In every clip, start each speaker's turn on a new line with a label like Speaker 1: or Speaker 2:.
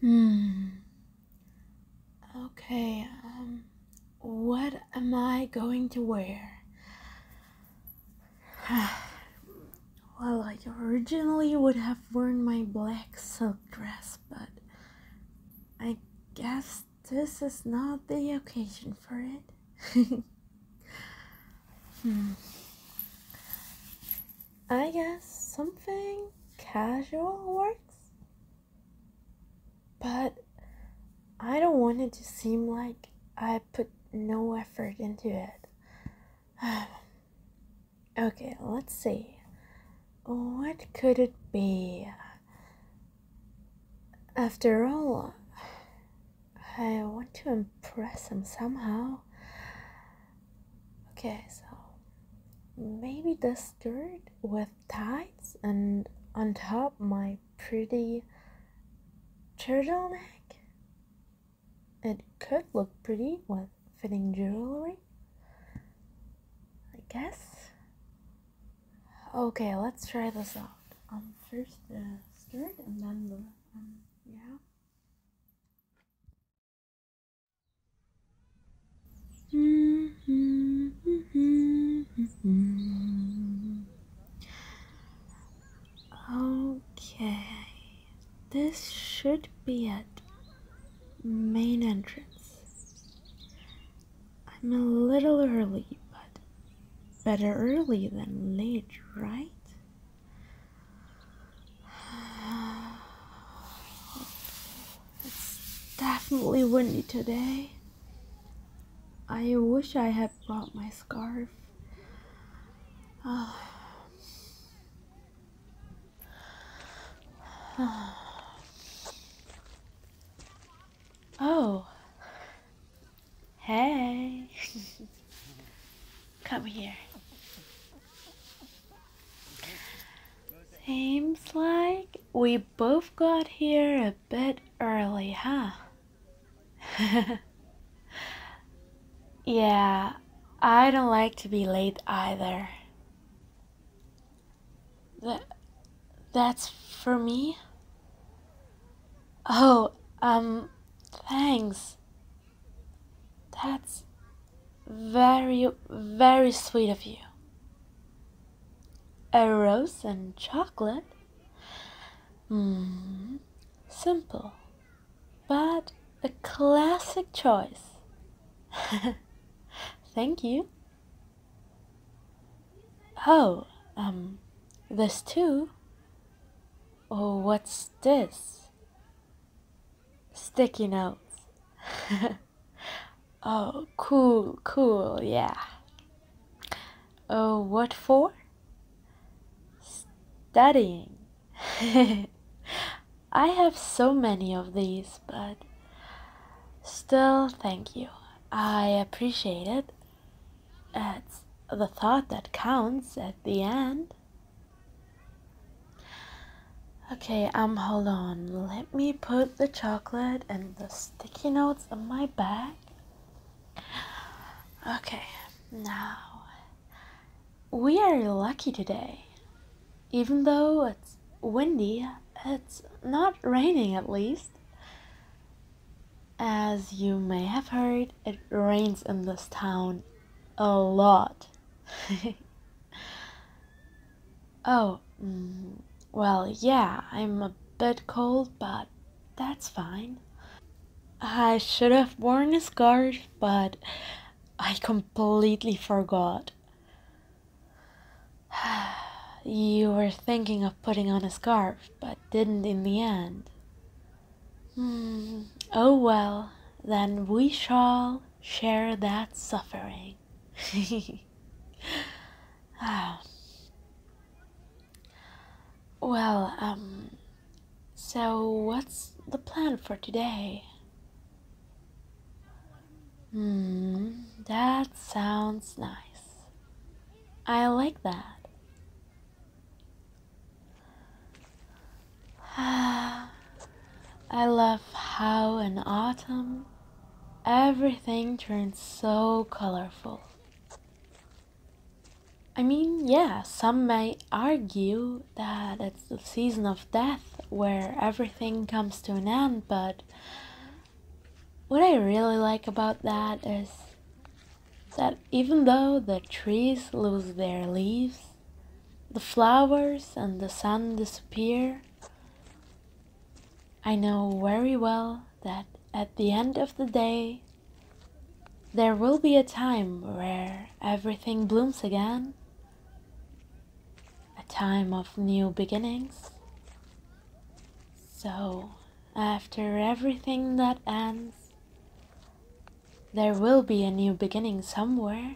Speaker 1: Hmm. Okay, um, what am I going to wear? well, I originally would have worn my black silk dress, but I guess this is not the occasion for it. hmm. I guess something casual works. But I don't want it to seem like I put no effort into it. okay, let's see. What could it be? After all, I want to impress him somehow. Okay, so maybe the skirt with tights and on top my pretty turtleneck. It could look pretty with fitting jewelry, I guess. Okay, let's try this out. Um, first the skirt and then the um, yeah. Okay, this should be at main entrance. I'm a little early, but better early than late, right? It's definitely windy today. I wish I had brought my scarf. Oh. Hey. Come here. Seems like we both got here a bit early, huh? yeah, I don't like to be late either. That, that's for me? Oh, um, thanks. That's very, very sweet of you. A rose and chocolate? Mm, simple, but a classic choice. Thank you. Oh, um, this too. Oh, what's this? Sticky notes. oh, cool, cool, yeah. Oh, what for? Studying. I have so many of these, but still, thank you. I appreciate it. It's the thought that counts at the end. Okay, um, hold on. Let me put the chocolate and the sticky notes in my bag. Okay, now we are lucky today. Even though it's windy, it's not raining at least. As you may have heard, it rains in this town a lot. oh, mm, well, yeah, I'm a bit cold, but that's fine. I should have worn a scarf, but I completely forgot. you were thinking of putting on a scarf, but didn't in the end. Hmm. oh well, then we shall share that suffering. ah. Well, um, so what's the plan for today? Hmm, that sounds nice. I like that. I love how in autumn everything turns so colorful. I mean, yeah, some may argue that it's the season of death where everything comes to an end, but what I really like about that is that even though the trees lose their leaves, the flowers and the sun disappear, I know very well that at the end of the day, there will be a time where everything blooms again, a time of new beginnings. So, after everything that ends, there will be a new beginning somewhere.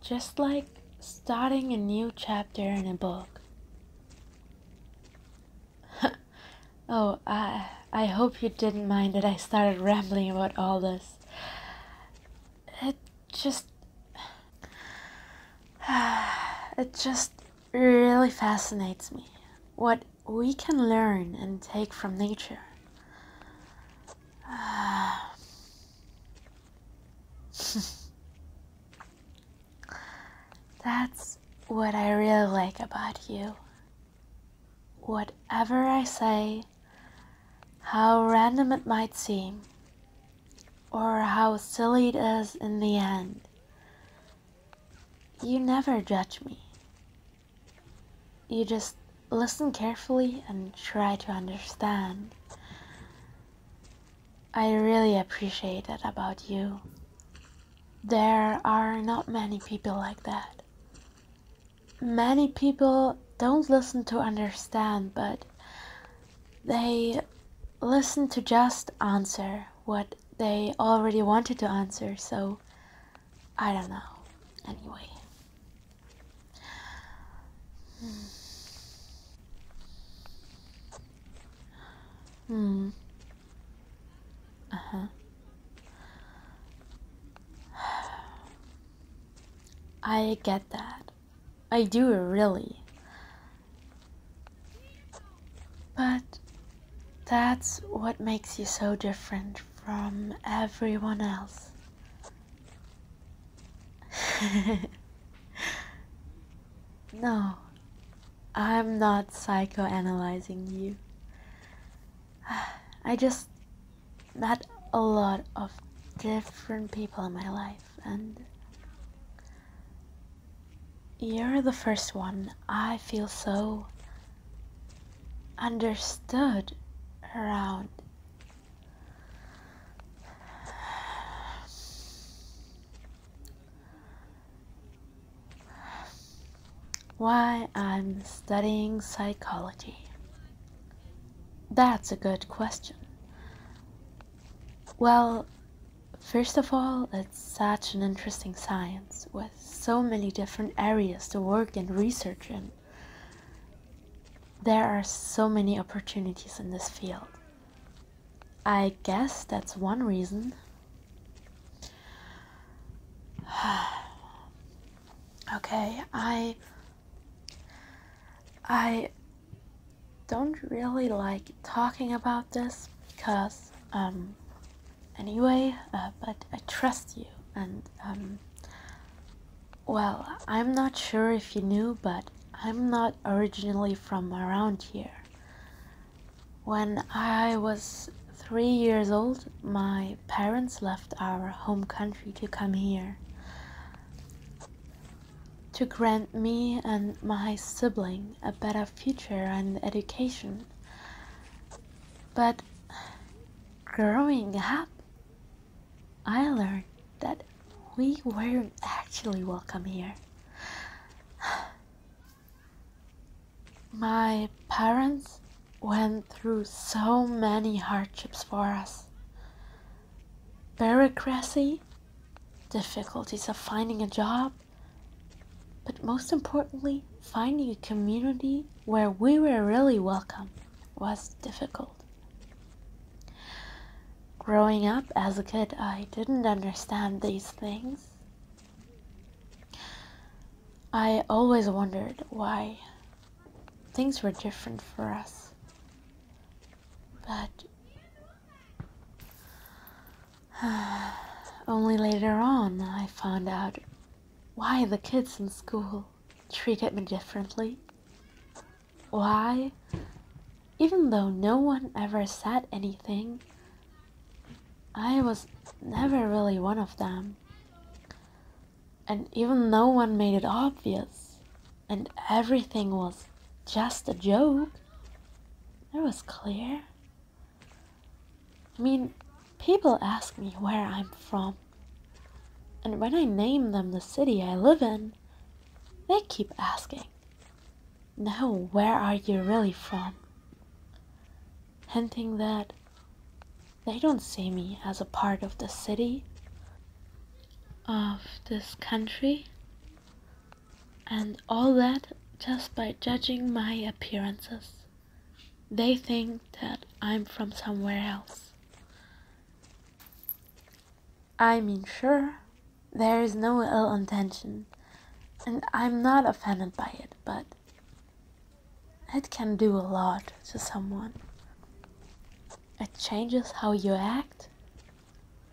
Speaker 1: Just like starting a new chapter in a book. oh, I, I hope you didn't mind that I started rambling about all this. It just. It just really fascinates me what we can learn and take from nature. That's what I really like about you. Whatever I say, how random it might seem, or how silly it is in the end. You never judge me. You just listen carefully and try to understand. I really appreciate that about you. There are not many people like that. Many people don't listen to understand, but they listened to just answer what they already wanted to answer, so I don't know. Anyway. Hmm. Uh huh. I get that. I do really. But that's what makes you so different from everyone else. no, I'm not psychoanalyzing you. I just met a lot of different people in my life and you're the first one i feel so understood around why I'm studying psychology. That's a good question. Well, first of all, it's such an interesting science with so many different areas to work and research in. There are so many opportunities in this field. I guess that's one reason. okay, I I don't really like talking about this because, um, anyway, uh, but I trust you and, um, well, I'm not sure if you knew, but I'm not originally from around here. When I was three years old, my parents left our home country to come here to grant me and my sibling a better future and education. But growing up, I learned that we weren't actually welcome here. My parents went through so many hardships for us bureaucracy, difficulties of finding a job, but most importantly, finding a community where we were really welcome was difficult. Growing up as a kid, I didn't understand these things. I always wondered why things were different for us. But only later on I found out why the kids in school treated me differently. Why, even though no one ever said anything, I was never really one of them and even no one made it obvious, and everything was just a joke. It was clear. I mean, people ask me where I'm from, and when I name them the city I live in, they keep asking, Now, where are you really from? Hinting that they don't see me as a part of the city, of this country, and all that just by judging my appearances. They think that I'm from somewhere else. I mean, sure, there is no ill intention, and I'm not offended by it, but it can do a lot to someone. It changes how you act,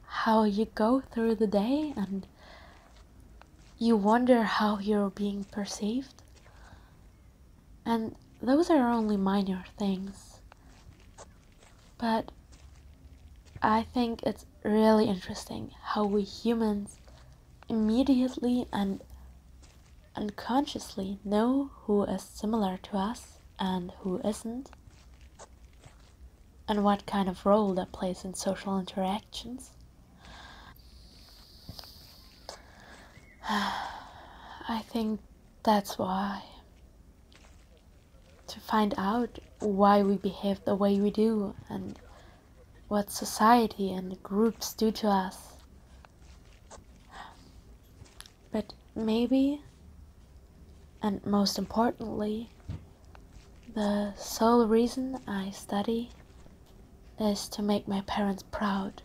Speaker 1: how you go through the day, and you wonder how you're being perceived. And those are only minor things. But I think it's really interesting how we humans immediately and unconsciously know who is similar to us and who isn't, and what kind of role that plays in social interactions. I think that's why. To find out why we behave the way we do and what society and groups do to us but maybe, and most importantly, the sole reason I study is to make my parents proud,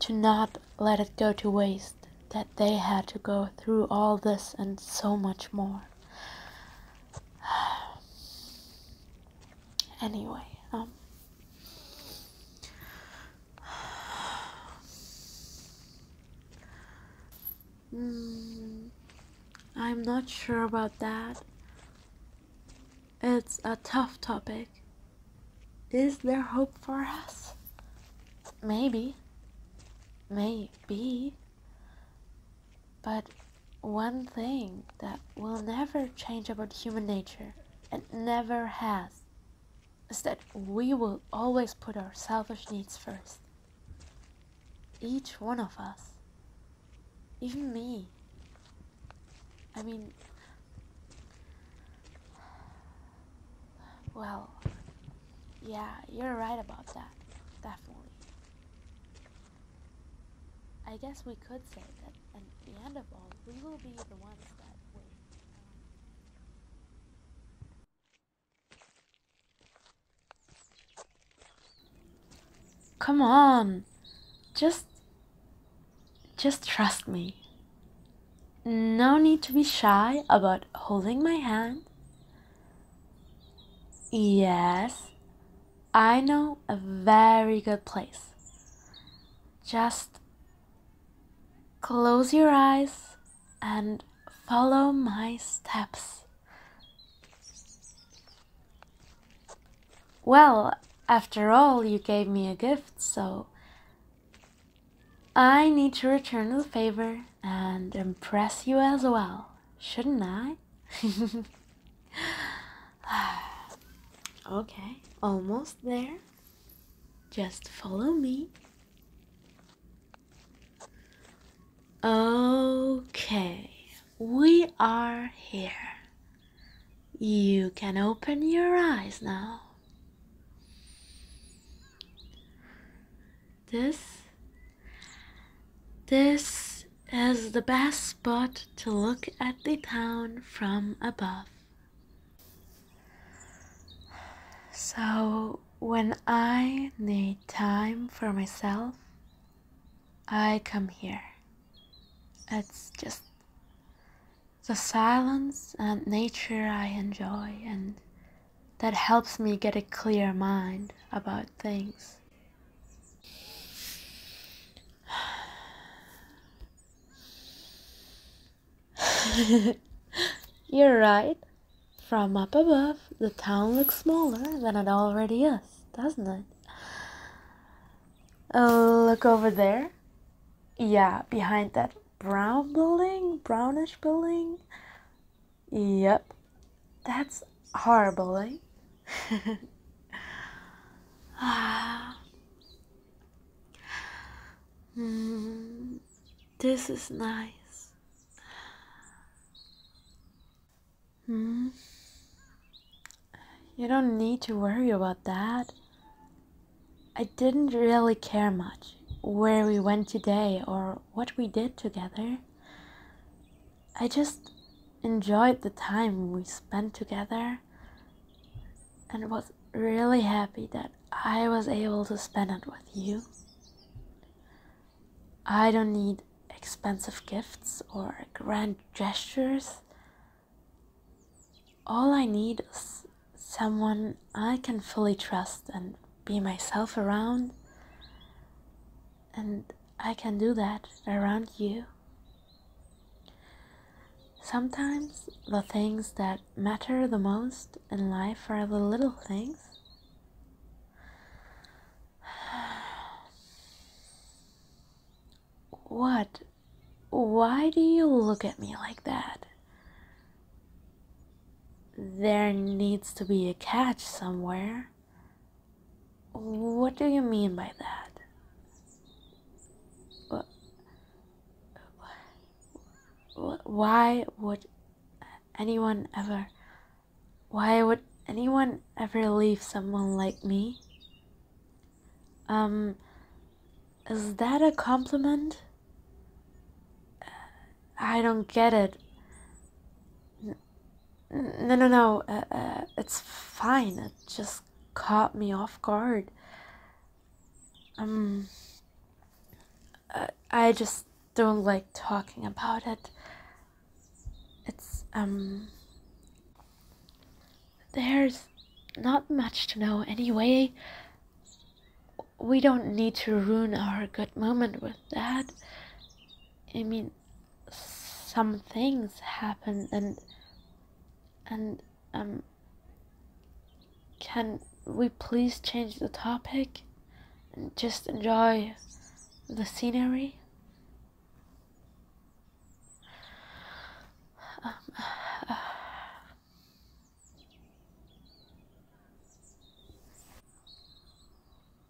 Speaker 1: to not let it go to waste that they had to go through all this and so much more. anyway, um, mm, I'm not sure about that. It's a tough topic. Is there hope for us? Maybe. Maybe. But one thing that will never change about human nature and never has is that we will always put our selfish needs first. Each one of us. Even me. I mean, well, yeah, you're right about that, definitely. I guess we could say that at the end of all, we will be the ones that win. Come on, just, just trust me. No need to be shy about holding my hand. Yes, I know a very good place. Just close your eyes and follow my steps. Well, after all, you gave me a gift, so I need to return the favor and impress you as well, shouldn't I? okay, almost there. Just follow me. Okay, we are here. You can open your eyes now. This, this is the best spot to look at the town from above. So, when I need time for myself, I come here. It's just the silence and nature I enjoy, and that helps me get a clear mind about things. You're right. From up above, the town looks smaller than it already is, doesn't it? Oh, look over there. Yeah, behind that brown building, brownish building. Yep, that's horrible, eh? ah. mm, this is nice. Hmm. You don't need to worry about that. I didn't really care much where we went today or what we did together. I just enjoyed the time we spent together and was really happy that I was able to spend it with you. I don't need expensive gifts or grand gestures. All I need is someone I can fully trust and be myself around and I can do that around you. Sometimes the things that matter the most in life are the little things. What? Why do you look at me like that? There needs to be a catch somewhere. What do you mean by that? Why would anyone ever. Why would anyone ever leave someone like me? Um. Is that a compliment? I don't get it. No, no, no. Uh, uh, it's fine. It just caught me off guard. Um, uh, I just don't like talking about it. It's, um, there's not much to know anyway. We don't need to ruin our good moment with that. I mean, some things happen and and um can we please change the topic and just enjoy the scenery